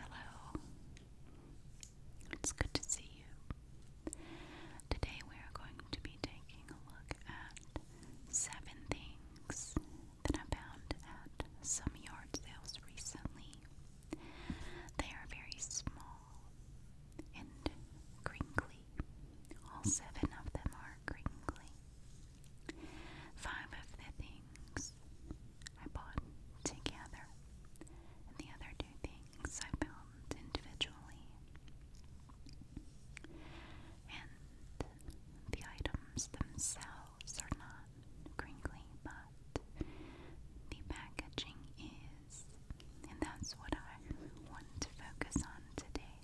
Hello. It's good to see you. Today we are going to be taking a look at seven things that I found at some yard sales recently. They are very small and crinkly. All seven of them are crinkly. Five of the things I bought together, the other two things I found individually. And the items themselves are not crinkly, but the packaging is, and that's what I want to focus on today.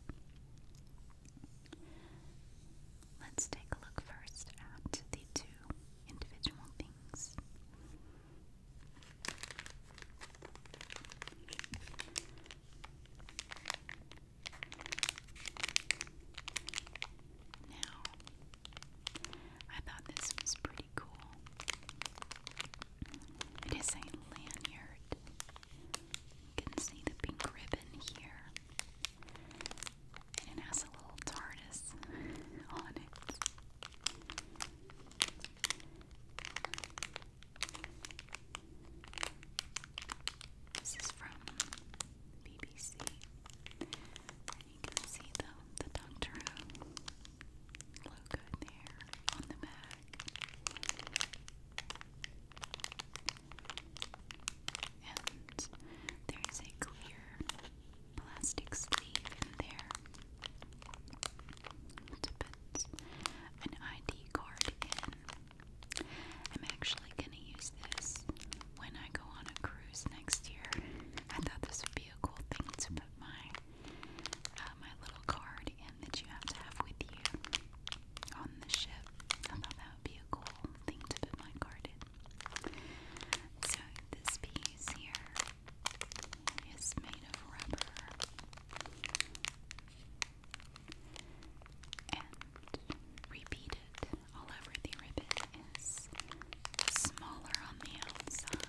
Let's take a look first at the two individual things. Now, I thought this was pretty cool. It is a lanyard. You can see the pink ribbon here. And it has a little TARDIS on it. This is from BBC. And you can see the, the Doctor Who logo there on the back. And there is a clear plastic sleeve there to put an ID card in. I'm actually going to use this when I go on a cruise next year. I thought this would be a cool thing to put my uh, my little card in that you have to have with you on the ship that would be a cool thing to put my card in. So this piece here is made of rubber. And repeated all over the ribbon is smaller on the outside.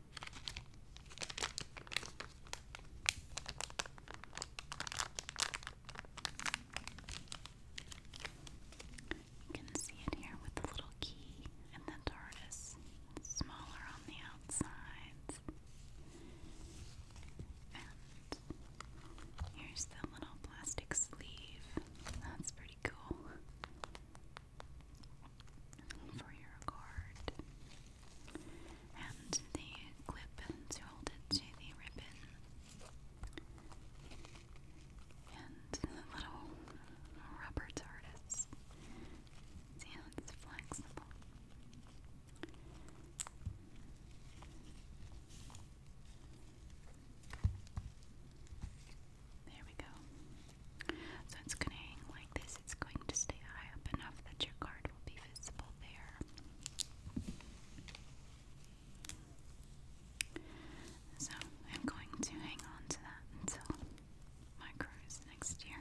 You can see it here with the little key and the It's smaller on the outsides. And here's the little plastic sleeve. That's pretty cool for your card and the clip to hold it to the ribbon and little rubber TARDIS. it's flexible. There we go. So it's going to hang like this. It's going to stay high up enough that your card will be visible there. So I'm going to hang on to that until my cruise next year.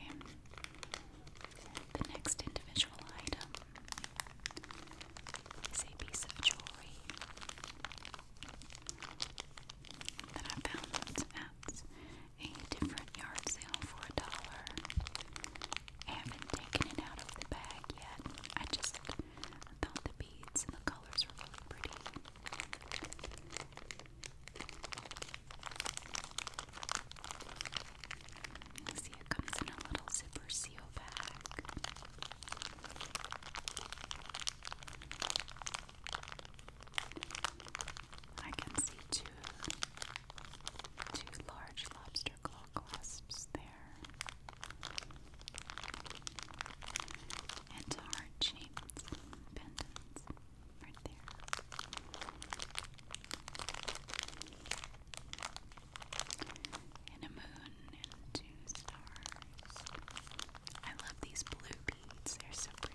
Okay. The next individual item it's a piece of jewelry that I found at a different yard sale for a dollar. I haven't taken it out of the bag yet. I just thought the beads and the colors were pretty. See, it comes in a little zipper seal bag. I can see two two large lobster claw clasps there. And heart pendants right there and a moon and two stars. I love these blue beads, they're so pretty.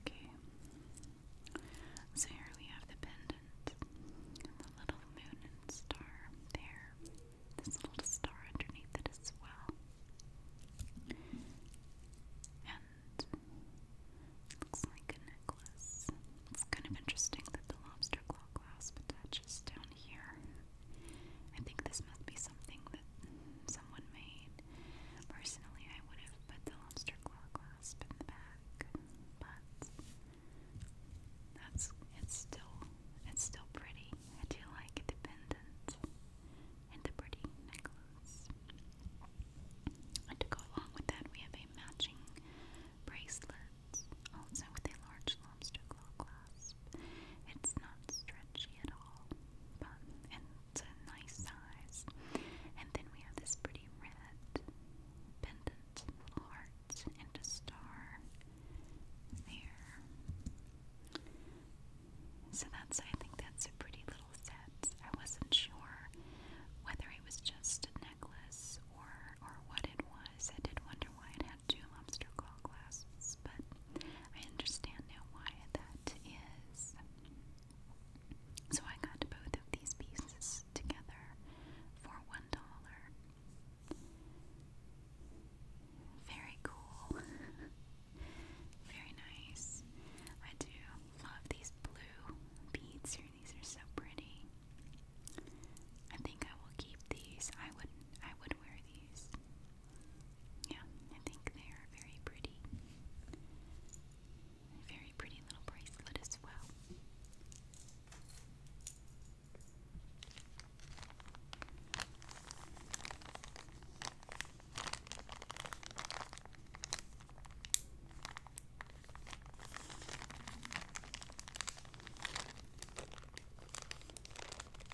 Okay. So here we have the pendant the little moon and star there. This little star underneath it as well. And looks like a necklace. It's kind of interesting that the lobster claw clasp attaches down here. I think this must be something that someone made. Personally, I would have put the lobster claw clasp in the back, but that's it's still it's still pretty. I do like the pendant and the pretty necklace. And to go along with that, we have a matching bracelet, also with a large lobster clasp. It's not stretchy at all, and it's a nice size. And then we have this pretty red pendant, little heart, and a star there. So that's, I think that's a pretty little set. I wasn't sure whether it was just a necklace or, or what it was. I did wonder why it two lobster claw clasps, but I understand now why that is. So I got both these pieces together for one dollar. Very cool. Very nice. I do love these blue beads here. These are so pretty. I think I will keep these. I would I would wear these. Yeah, I think they are very pretty. very pretty little bracelet as well.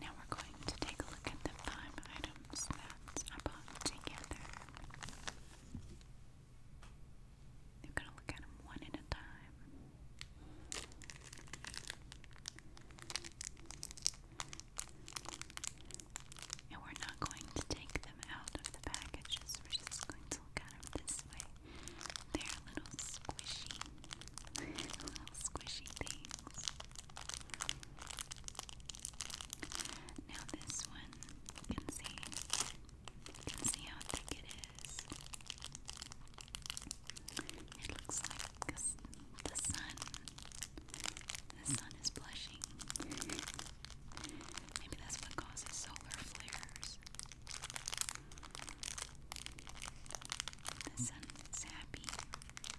Now we're going to take a look at the five items that I bought together. We're going to look at them one at a time. And we're not going to take them out of the packages, we're just going to look at them this way. They're a little squishy. Little squishy things. Now this one, you can see, see how thick it is. It looks like the, the sun. The sun is blushing. Maybe that's what causes solar flares. The sun is happy.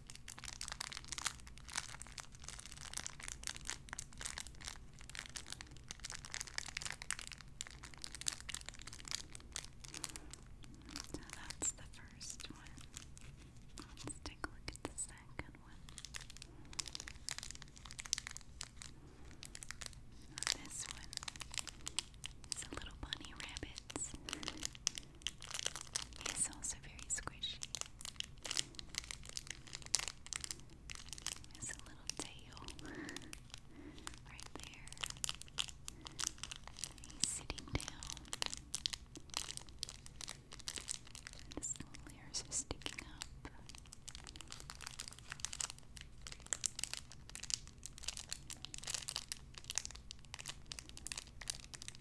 So that's the first one. Let's take a look at the second one. this one is a little bunny rabbit. He also very squishy. There's a little tail right there. He's sitting down. his little ears are sticking up.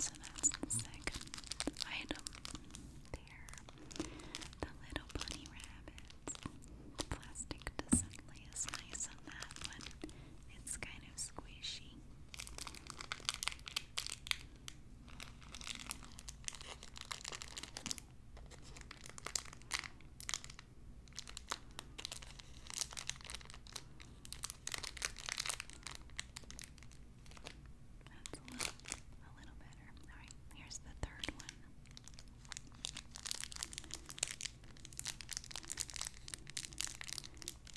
So that's the second item there. The little bunny rabbit. The plastic doesn't nice on that one. It's kind of squishy. That's a little, a little better. All right, here's the third one.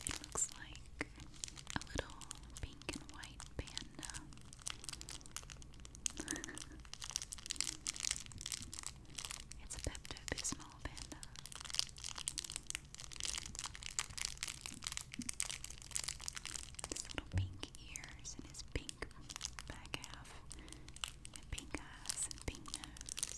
It looks like a little pink and white panda. it's a Pepto Bismol panda. This little pink pink ears and his pink back half, and pink eyes and pink nose.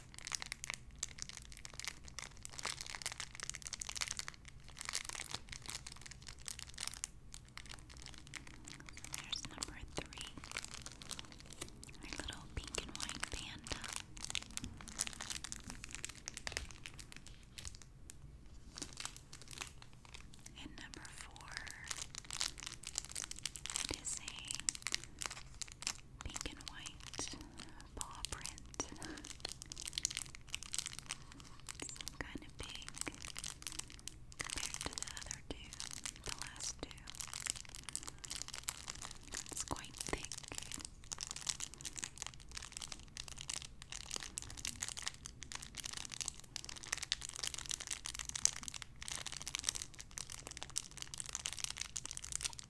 There's number three, our little pink and white panda. And number four, it is pink and white paw print. kind of big compared to the other two, the last two. It's quite thick.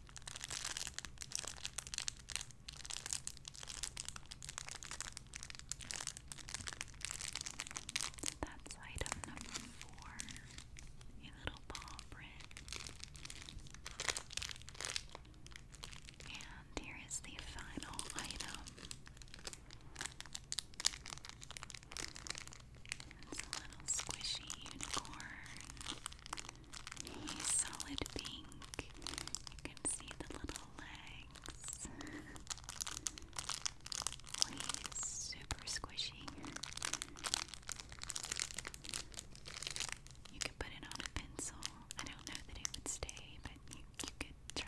So that's item number four. A little paw print. And here is the final item. It's a little squishy unicorn. He's solid pink. You can see the little legs. he's super squishy. You could put it on a pencil. I don't know that it would stay, but you could try.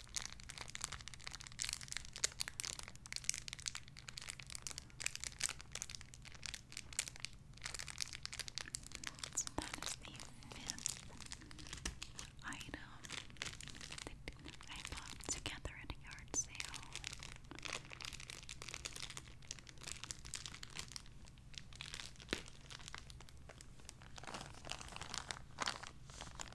So that is the fifth item that I bought together at a yard sale.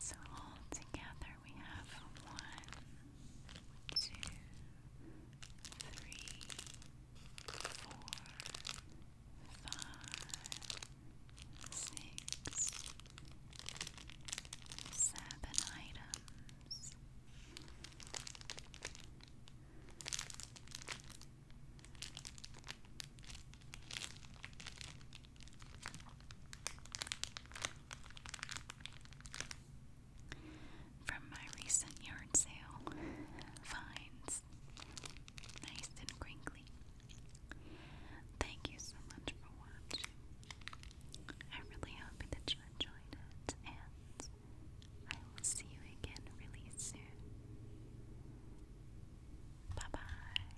So all we have one, two, three, four, five, six, seven items. From my recent yard sale, finds nice and crinkly. Thank you so much for watching. i really happy that you enjoyed it, and I will see you again really soon. Bye bye.